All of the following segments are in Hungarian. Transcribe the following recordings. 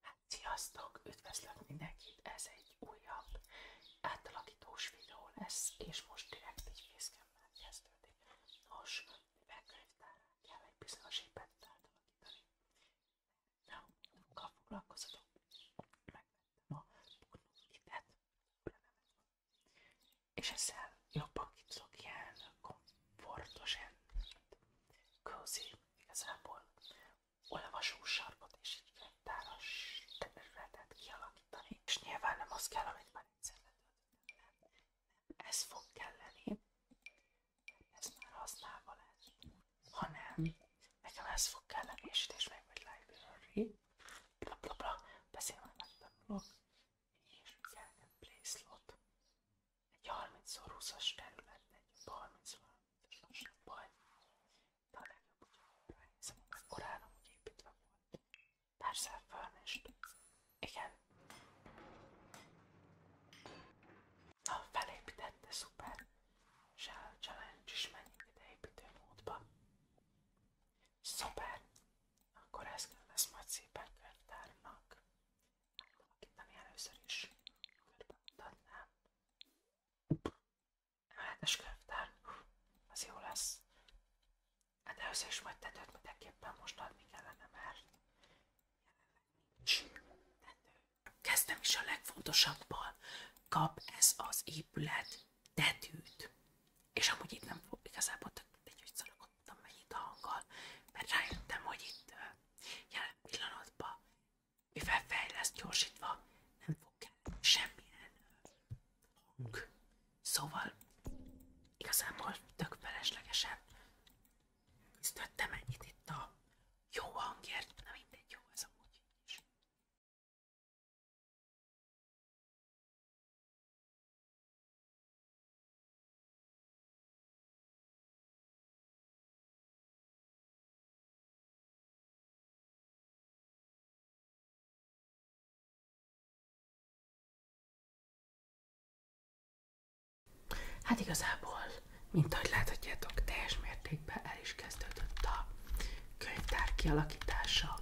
Hát, sziasztok! Üdvözlök mindenkit! Ez egy újabb átalakítós videó lesz, és most direkt egy fészkemmel kezdődik. Nos, mivel könyvtárán kell egy bizonyos épet Na, Nem, munkkal foglalkozatok. Megvettem a és ezzel jobban ki tudok ilyen komfortosan, cozy Igazából olvasó sarkot és egy rentáros területet kialakítani, és nyilván nem az kell, amit már egyszer letöltöttem, nem, nem ez fog kelleni, ez már használva lesz, hanem nekem ez fog kelleni, és itt is meg vagy library, bla bla bla, beszélve megtanulok, és kell egy play slot, egy 30x20-as területre, egy 30 as most nem baj. De a legjobb, hogyha arra hiszem, hogy korán amúgy építve volt. Persze, fölnést. Igen. Na, felépítette, szuper. És a challenge is menjünk ide építő módba. Szuper! Akkor ezt kell lesz majd szépen könyvtárnak akit nem ilyen először is körbe mutatnám. Emeletes könyvtár, az jó lesz. Hát először is majd tetőt mindenképpen most adni kellene, mert nincs tető. Kezdem is a legfontosabbal. Kap ez az épület tetőt. És amúgy itt nem fog igazából tök mindegy, hogy szalagodtam mennyit a hanggal, mert rájöttem, hogy itt Jelen pillanatban, mivel fejleszt gyorsítva, nem fog kell semmilyen hang. Szóval igazából tök feleslegesen küzdöttem ennyit itt a jó hangért, nem mindegy jó ez amúgy is. Hát igazából, mint ahogy láthatjátok, teljes mértékben el is kezdődött a könyvtár kialakítása,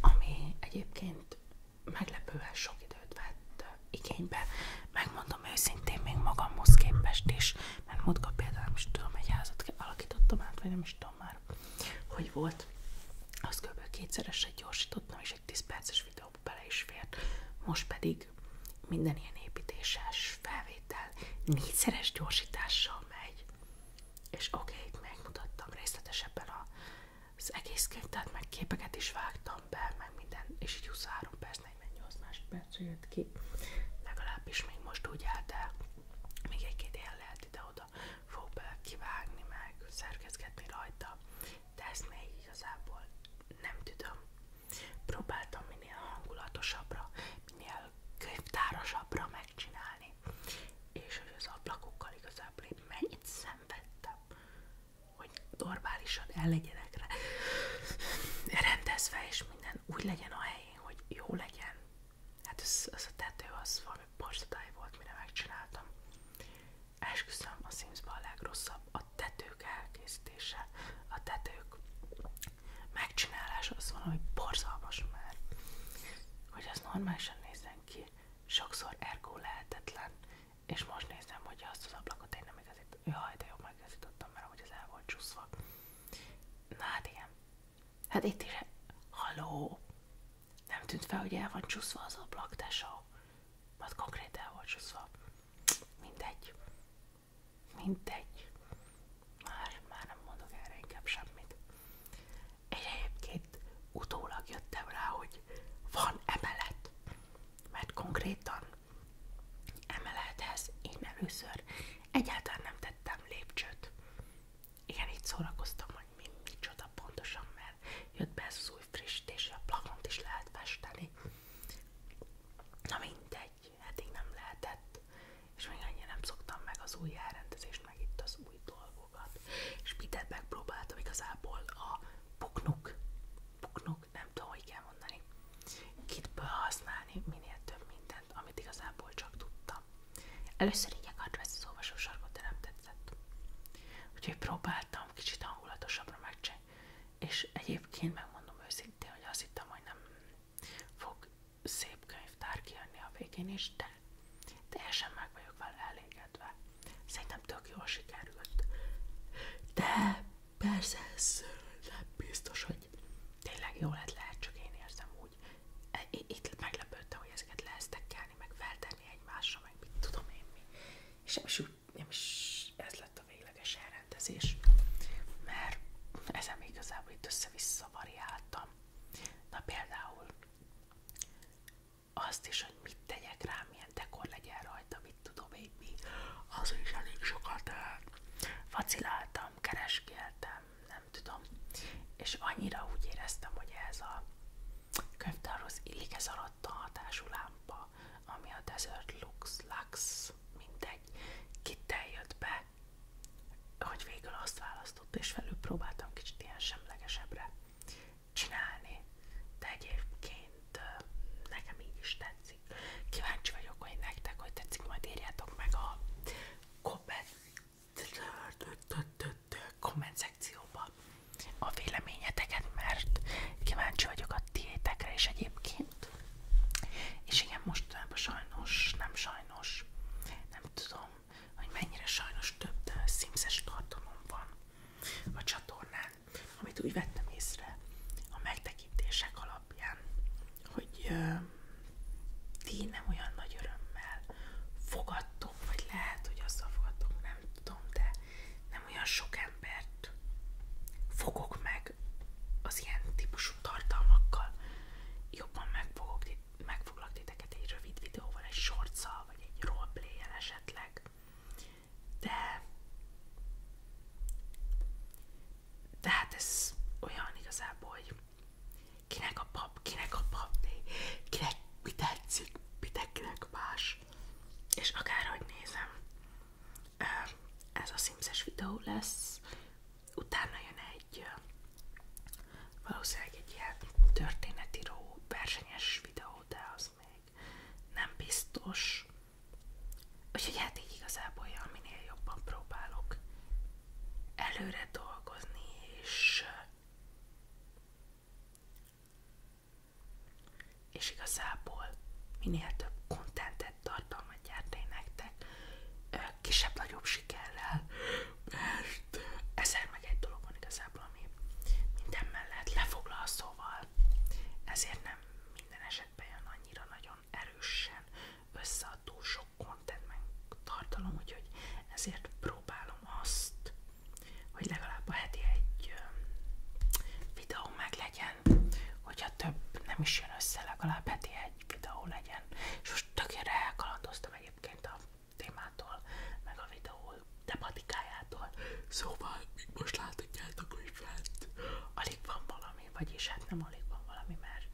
ami egyébként meglepően sok időt vett igénybe. Megmondom őszintén még magamhoz képest is, mert múltkor például nem is tudom, egy házat alakítottam át, vagy nem is tudom már, hogy volt. Azt kb. kétszeresre gyorsítottam, és egy 10 perces videóba bele is fért. Most pedig minden ilyen építéses felvétel négyszeres gyorsítással megy. És oké, okay, megmutattam részletesebben az egész könyv, tehát meg képeket is vágtam, per, meg minden, és így 23 perc, 48 másodperc jött ki. Legalábbis még most úgy állt el, még egy-két ilyen lehet ide-oda fog bele kivágni, meg szerkezgetni rajta, de ezt még igazából nem tudom. Próbáltam minél hangulatosabbra, minél könyvtárosabbra megcsinálni, és hogy az ablakokkal igazából én mennyit szenvedtem, hogy normálisan el legyenek rá rendezve, és minden úgy legyen a helyén, hogy jó legyen. Hát ez, ez a tető az valami borzatály volt, mire megcsináltam. Esküszöm, a sims a legrosszabb a tetők elkészítése, a tetők megcsinálása az van, valami borzalmas mert Hogy az normálisan nézzen ki, sokszor ergo lehetetlen, és most nézem, hogy azt az ablakot én nem igazít, jaj, de jó, megigazítottam, mert hogy ez el volt csúszva. Na hát igen. Hát itt is, haló, nem tűnt fel, hogy el van csúszva az ablak, tesó. Mert hát konkrét el volt csúszva. Mindegy. Mindegy. Már, már nem mondok semmit. egyébként utólag jöttem rá, hogy van emelet mert konkrétan emelethez én először egyáltalán nem tettem lépcsőt. Igen, itt szórakoztam, hogy mi, csoda pontosan, mert jött be ez az új frissítés, a plafont is lehet festeni. Na mindegy, eddig nem lehetett, és még annyira nem szoktam meg az új elrendezést, meg itt az új dolgokat. És mindent próbáltam igazából a puknuk, puknuk tudok, nem tudom, hogy kell mondani, kitből használni minél több mindent, amit igazából csak tudtam. Először így akart veszni az olvasósarkot, de nem tetszett. Úgyhogy próbáltam kicsit hangulatosabbra megcsinálni, és egyébként megmondom őszintén, hogy azt hittem, hogy nem fog szép könyvtár kijönni a végén is, de teljesen meg vagyok vele elégedve. Szerintem tök jól sikerült. De persze ez nem biztos, hogy tényleg jó lett lehet, csak én érzem úgy. E, itt meglepődtem, hogy ezeket leesztekkelni, meg feltenni egymásra, meg mit tudom én mi. És nem is, nem is ez lett a végleges elrendezés, mert ezen igazából itt össze-vissza variáltam. Na például azt is, hogy mit tegyek rá, milyen dekor legyen rajta, mit tudom én mi, az is elég sokat vaciláltam, kereskéltem, nem tudom, és annyira úgy éreztem, hogy ez a könyvtárhoz illik ez alatt a hatású lámpa, ami a Desert Lux, Lux, mindegy, kittel jött be, hogy végül azt választott, és felül próbáltam kicsit ilyen semlegesebbre csinálni, de egyébként nekem így is tetszik. Kíváncsi vagyok, hogy nektek, hogy tetszik, majd írjátok meg a komment szekcióba a véleményeteket, mert kíváncsi vagyok a tiétekre is egyébként. És igen, mostanában sajnos, nem sajnos, nem tudom, hogy mennyire sajnos több szimszes tartalom van a csatornán, amit úgy vettem észre a megtekintések alapján, hogy ö, ti nem olyan nagy örömmel fogadtok, vagy lehet, hogy azzal fogadtok, nem tudom, de nem olyan sok embert fogok meg az ilyen típusú tartalmakkal, jobban megfogok, meg foglak titeket egy rövid videóval, egy shortszal, vagy egy roleplay esetleg, de, de hát ez olyan igazából, hogy kinek a pap, kinek a pap, kinek mi tetszik, mi kinek más. És akárhogy nézem, ez a sims videó lesz, utána jön egy valószínűleg egy ilyen történetíró versenyes videó, de az még nem biztos. Úgyhogy hát így igazából, ja, minél jobban próbálok előre dolgozni, és, és igazából minél több kontentet, tartalmat gyártani nektek, kisebb-nagyobb sikerrel, mert ezer meg egy dolog van igazából minden mellett lefoglal, szóval ezért nem minden esetben annyira nagyon erősen össze sok tartalom, úgyhogy ezért próbálom azt, hogy legalább a heti egy videó meg legyen, hogyha több nem is jön össze, legalább heti egy videó legyen. És most tökére elkalandoztam egyébként a témától, meg a videó tematikájától. Szóval, még most láthatjátok, hogy fent alig van valami, vagyis hát nem alig van valami, mert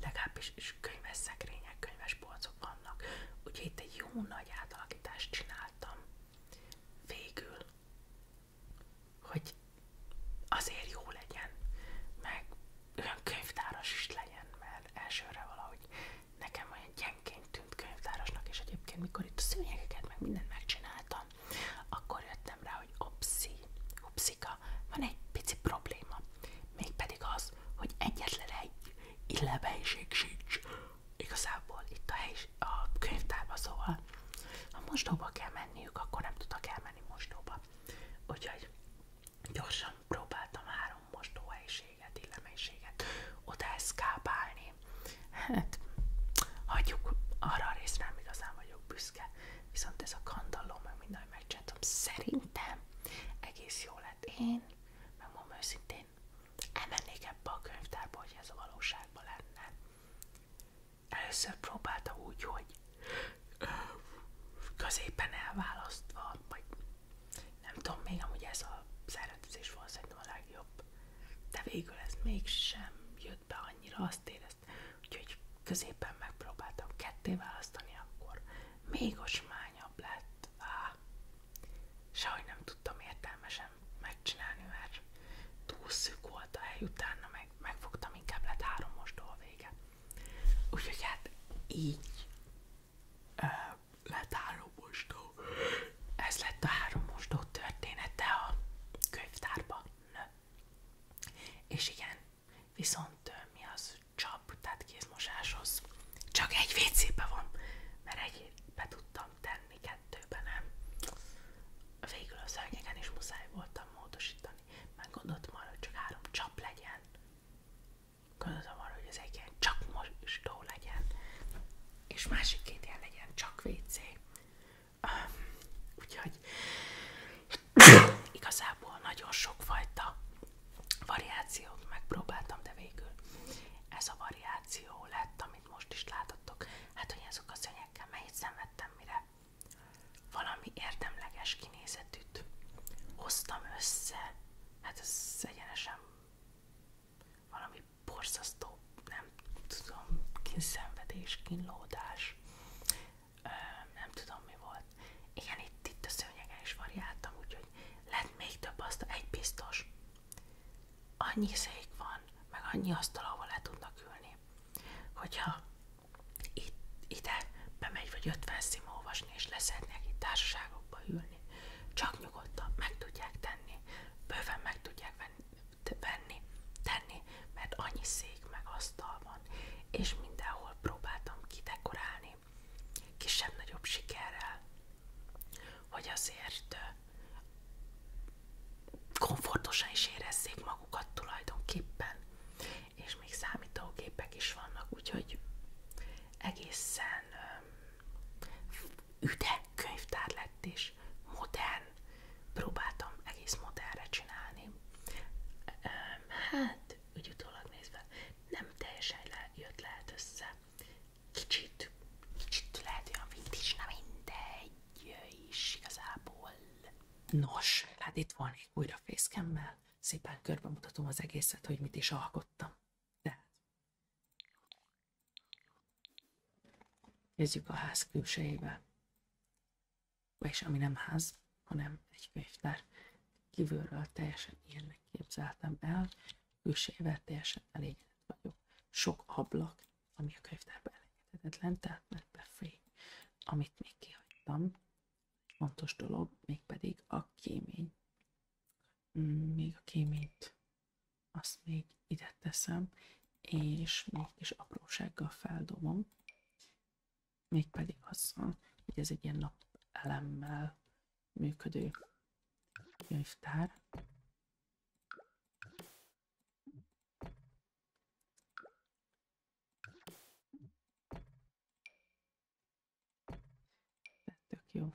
legalábbis könyves szekrények, könyves polcok vannak. Úgyhogy itt egy jó nagy átalakítást csináltam. Végül, hogy azért jó legyen, meg olyan könyvtáras is legyen, mert elsőre valahogy nekem olyan gyenként tűnt könyvtárosnak, és egyébként mikor itt a szőnyegeket meg mindent megcsináltam, akkor jöttem rá, hogy opszi, opszika, van egy pici probléma, mégpedig az, hogy egyetlen egy illebejség sincs igazából itt a, hely, a könyvtárba, szóval ha mostóba kell menniük, akkor nem tudok elmenni mostóba. Úgyhogy gyorsan próbáltam három mostó mélységet, illeménységet oda eszkápálni. Hát, hagyjuk, arra a részre nem igazán vagyok büszke, viszont ez a kandalló, meg minden megcsináltam, szerintem egész jó lett. Én, megmondom őszintén, elmennék ebbe a könyvtárba, ez a valóságban lenne. Először próbálta úgy, hogy középen elválasztva, vagy nem tudom, még amúgy ez a szervezés volt szerintem a legjobb, de végül ez mégsem jött be annyira azt éreztem, úgyhogy középen megpróbáltam ketté választani, akkor még osmányabb lett. Á, sajnos nem tudtam értelmesen megcsinálni, mert túl szűk volt a hely, utána meg, megfogtam, inkább lett három mostól vége. Úgyhogy hát így lett három mostó. Ez lett a három mostó története a könyvtárban. És igen, viszont mi az csap, tehát kézmosáshoz csak egy vécébe van, mert egy be tudtam tenni, kettőben nem. Végül a szörnyeken is muszáj voltam módosítani, meg gondoltam arra, hogy csak három csap legyen. Gondolom arra, hogy az egyen csak mostó legyen, és másik két ilyen legyen csak WC. Um, úgyhogy igazából nagyon sokfajta variációt megpróbáltam, de végül ez a variáció lett, amit most is látottok. Hát, hogy azok a szönyekkel mennyit szenvedtem, mire valami érdemleges kinézetűt hoztam össze, hát ez egyenesen valami borzasztó, nem tudom, kínszenvedés, kínlódás, nem tudom mi volt. Igen, itt, a szőnyegen is variáltam, úgyhogy lett még több asztal, egy biztos. Annyi szék van, meg annyi asztal, ahol le tudnak ülni, hogyha itt, ide bemegy vagy ötven szim olvasni, és leszednek itt társaság sarokba ülni. Csak nyugodtan meg tudják tenni, bőven meg tudják venni, tenni, mert annyi szék meg asztal van, és mindenhol próbáltam kidekorálni, kisebb-nagyobb sikerrel, hogy azért komfortosan is érezzék magukat tulajdonképpen és még számítógépek is vannak, úgyhogy egészen üde könyvtár lett, és modern, próbáltam egész modernre csinálni. Hát, úgy utólag nézve, nem teljesen le, jött lehet össze. Kicsit, kicsit lehet olyan vintage, na mindegy is igazából. Nos, hát itt van újra fészkemmel szépen körbe mutatom az egészet, hogy mit is alkottam. Tehát kezdjük a ház külsejével. vagyis ami nem ház, hanem egy könyvtár. Kívülről teljesen ilyennek képzeltem el, külsejével teljesen elégedett vagyok. Sok ablak, ami a könyvtárban elengedhetetlen, tehát mert befény, amit még kihagytam, fontos dolog, mégpedig a kémény. Mm, még a kéményt azt még ide teszem, és még kis aprósággal feldobom. Mégpedig azzal, hogy ez egy ilyen nap elemmel működő könyvtár. De tök jó.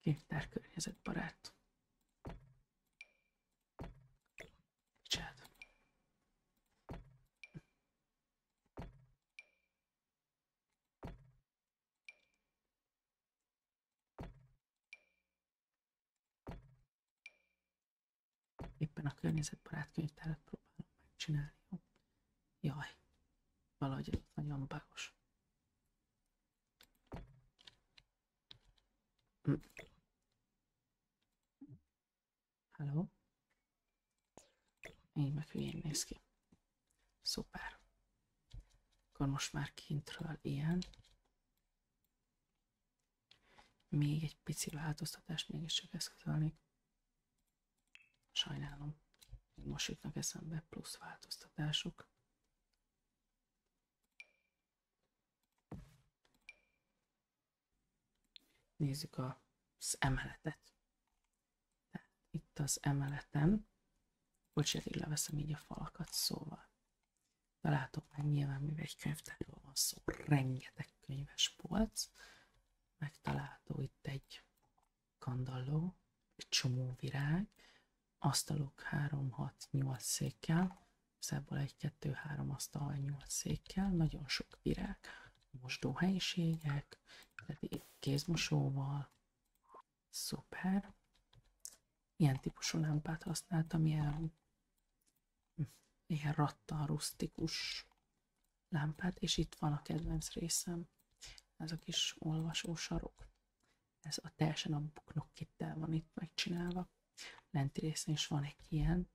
Képtár környezetbarát. Csád. Éppen a környezetbarát könyvtárat próbálom megcsinálni, jó? Jaj, valahogy ez nagyon bagos. Hello? Hm. Én meg hülyén néz ki. Szuper. Akkor most már kintről ilyen. Még egy pici változtatást mégiscsak eszközölnék. Sajnálom, most jutnak eszembe plusz változtatások. Nézzük az emeletet. itt az emeleten, bocsánat, leveszem így a falakat, szóval találtok meg nyilván, mivel egy könyvtárról van szó, rengeteg könyves polc, megtalálható itt egy kandalló, egy csomó virág, asztalok 3-6-8 székkel, ebből egy 2 3 asztal 8 székkel, nagyon sok virág, mosdóhelyiségek, kézmosóval, szuper. Ilyen típusú lámpát használtam, ilyen ilyen rattan rusztikus lámpát, és itt van a kedvenc részem, ez a kis olvasó sarok, Ez a teljesen a buknokkittel van itt megcsinálva. Lenti részen is van egy ilyen,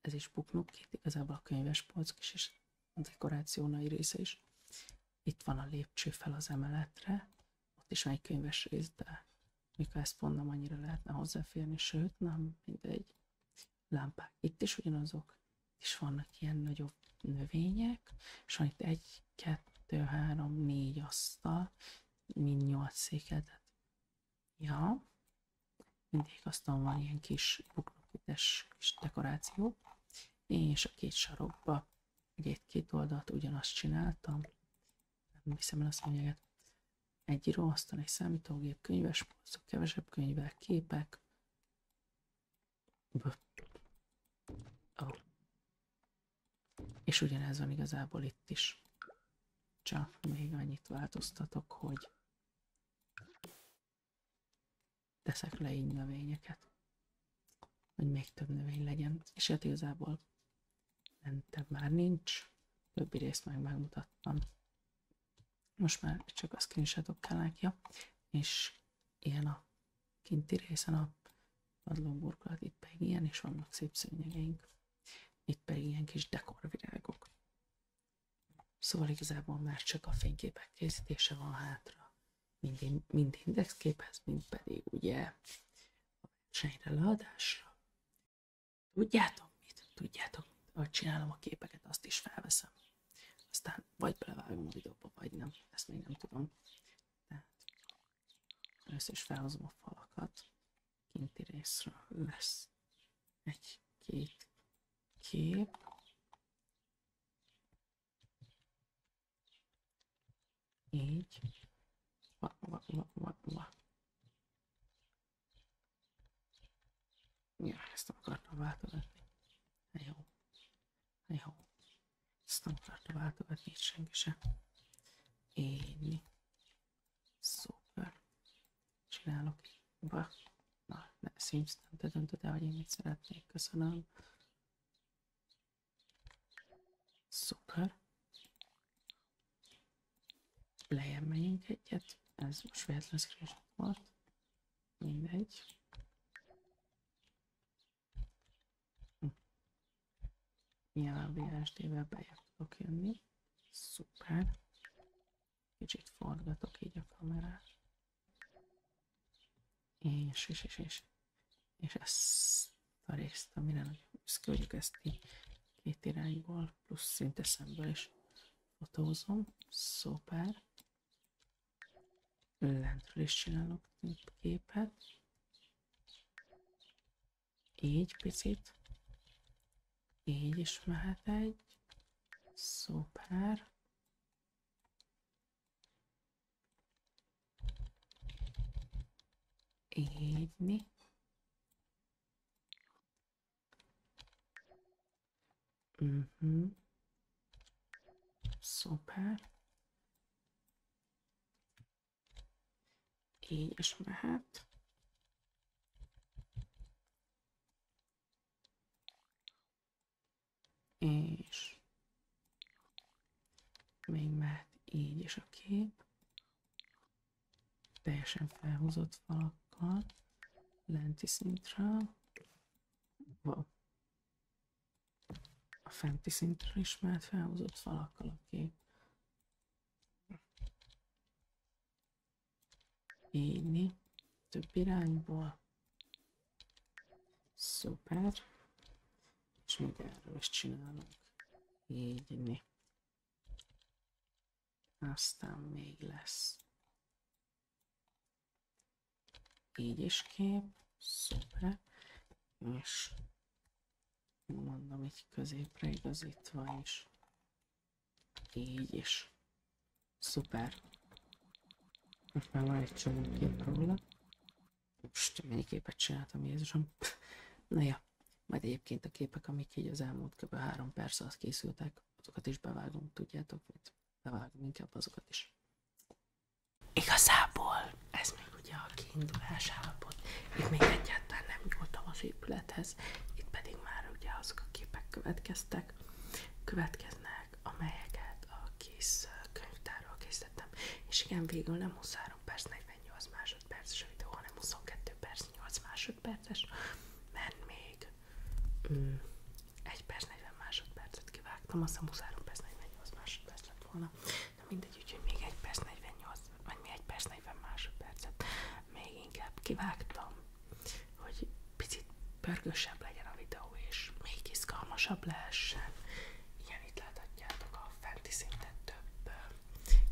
ez is buknokkit, igazából a könyves polcok is, és a dekoráció nagy része is. Itt van a lépcső fel az emeletre, ott is van egy könyves rész, de mikor ezt pont nem annyira lehetne hozzáférni, sőt, nem mindegy lámpák. Itt is ugyanazok, és vannak ilyen nagyobb növények, és van itt egy, kettő, három, négy asztal, mind nyolc székedet. Ja, mindig aztán van ilyen kis buknokites kis dekoráció, és a két sarokba ugye itt két oldalt ugyanazt csináltam, nem hiszem el a mondják, egy íróasztal, egy számítógép, könyves polcok, kevesebb könyvek, képek. B. Oh. És ugyanez van igazából itt is. Csak még annyit változtatok, hogy teszek le így növényeket, hogy még több növény legyen. És hát igazából Lentebb már nincs. Többi részt meg megmutattam. Most már csak a screenshotok kellnek, ja. És ilyen a kinti részen a padlóburkolat, itt pedig ilyen, és vannak szép szőnyegeink. Itt pedig ilyen kis dekorvirágok. Szóval igazából már csak a fényképek készítése van hátra. Mind, mind indexképhez, mind pedig ugye a versenyre leadásra. Tudjátok mit? Tudjátok mit? Ahogy csinálom a képeket, azt is felveszem. Aztán vagy belevágom a videóba, vagy nem. Ezt még nem tudom. De először is felhozom a falakat. Kinti részről lesz egy-két kép. Így. Va, va, va, va, va. Ja, ezt nem akartam váltogatni. Jó. Jó. Ezt nem akartam váltogatni itt senki sem. Így. Szuper. Csinálok. Ba. Na, ne, Sims, nem te döntöd el, hogy én mit szeretnék. Köszönöm. Szuper lejjebb megyünk egyet, ez most véletlen screenshot volt, mindegy. Hm. Nyilván a VSD-vel bejebb tudok jönni, szuper. Kicsit forgatok így a kamerát. És, és, és, és, és ezt a részt, amire nagyon büszke vagyok, ezt így két irányból, plusz szinte szemből is fotózom. Szuper. Lentről is csinálok képet. Így picit. Így is mehet egy. Szuper. Így. Mhm. Mm Szuper. Így is mehet. És még mehet így is a kép teljesen felhúzott falakkal lenti szintre, a fenti szintre is már felhúzott falakkal a kép. Égni több irányból. Szuper. És még erről is csinálunk. Égni. Aztán még lesz. Így is kép. Szuper. És mondom, így középre igazítva is. Így is. Szuper. Most már van egy csomó kép róla. Most mennyi képet csináltam, Jézusom. Na ja. Majd egyébként a képek, amik így az elmúlt kb. három perc alatt készültek, azokat is bevágunk, tudjátok mit? Bevágunk inkább azokat is. Igazából ez még ugye a kiindulás állapot. Itt még egyáltalán nem nyúltam az épülethez, itt pedig már ugye azok a képek következtek, következnek, amelyeket a kis könyvtárral készítettem. És igen, végül nem 23 perc, 40 48 másodperces a videó, hanem 22 perc, 8 másodperces, mert még mm. 1 perc 40 másodpercet kivágtam, azt hiszem 23 perc 48 másodperc lett volna. Na mindegy, még 1 perc 48, vagy még 1 perc 40 másodpercet még inkább kivágtam, hogy picit pörgősebb legyen a videó, és még izgalmasabb lehessen. Igen, itt láthatjátok a fenti szinten több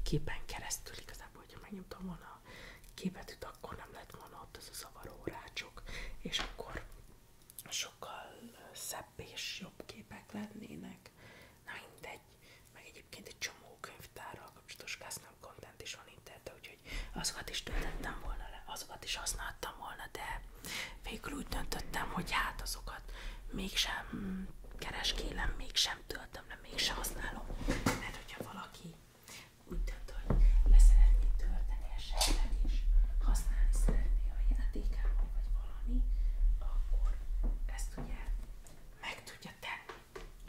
képen keresztül igazából, hogyha megnyomtam volna a képet, itt akkor nem lett volna ott az a zavaró rácsok, és akkor sokkal szebb és jobb képek lennének. Na mindegy, meg egyébként egy csomó könyvtár könyvtárral kapcsolatos custom content is van interneten, úgyhogy azokat is töltettem volna le, azokat is használtam volna, de végül úgy döntöttem, hogy hát azokat mégsem kereskélem, mégsem töltöm, de mégsem használom. Mert hogyha valaki úgy dönt, hogy leszeretné tölteni esetleg, és használni szeretné a játékában, vagy valami, akkor ezt ugye meg tudja tenni.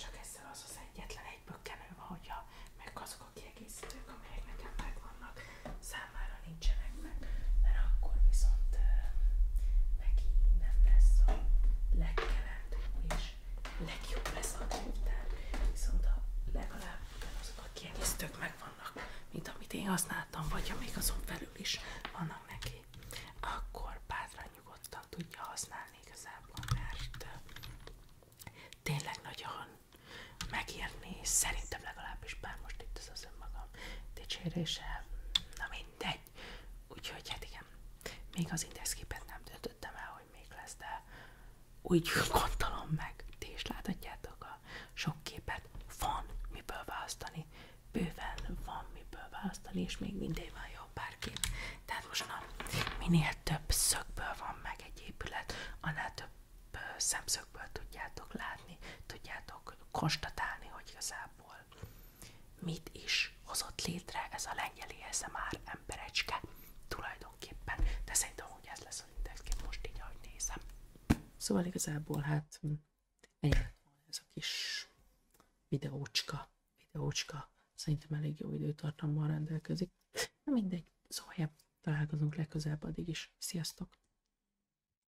Csak ezzel az az egyetlen egyből kenő van, hogyha meg azok a kiegészítők, amelyek nekem megvannak, számára nincsenek meg, mert akkor viszont neki nem lesz a és legjobb lesz a könyvtár, viszont a legalább ugyanazok a kiegészítők megvannak, mint amit én használtam, vagy amik azon felül is vannak neki, akkor bátran nyugodtan tudja használni igazából, mert tényleg nagyon megérni, szerintem legalábbis, bár most itt ez az nem mindegy. Úgyhogy hát igen, még az indexképet nem döntöttem el, hogy még lesz, de úgy gondolom meg, ti is láthatjátok a sok képet, van miből választani, bőven van miből választani, és még mindig van jó pár kép. Tehát most na, minél több szögből van meg egy épület, annál több szemszögből tudjátok látni, tudjátok konstatálni, hogy igazából Európából. Mit is hozott létre ez a lengyeli már emberecske? Tulajdonképpen, de szerintem úgy ez lesz az indexkép most így, ahogy nézem. Szóval igazából hát ennyi ez a kis videócska, videócska, szerintem elég jó időtartammal rendelkezik. Na mindegy, szóval találkozunk legközelebb addig is. Sziasztok!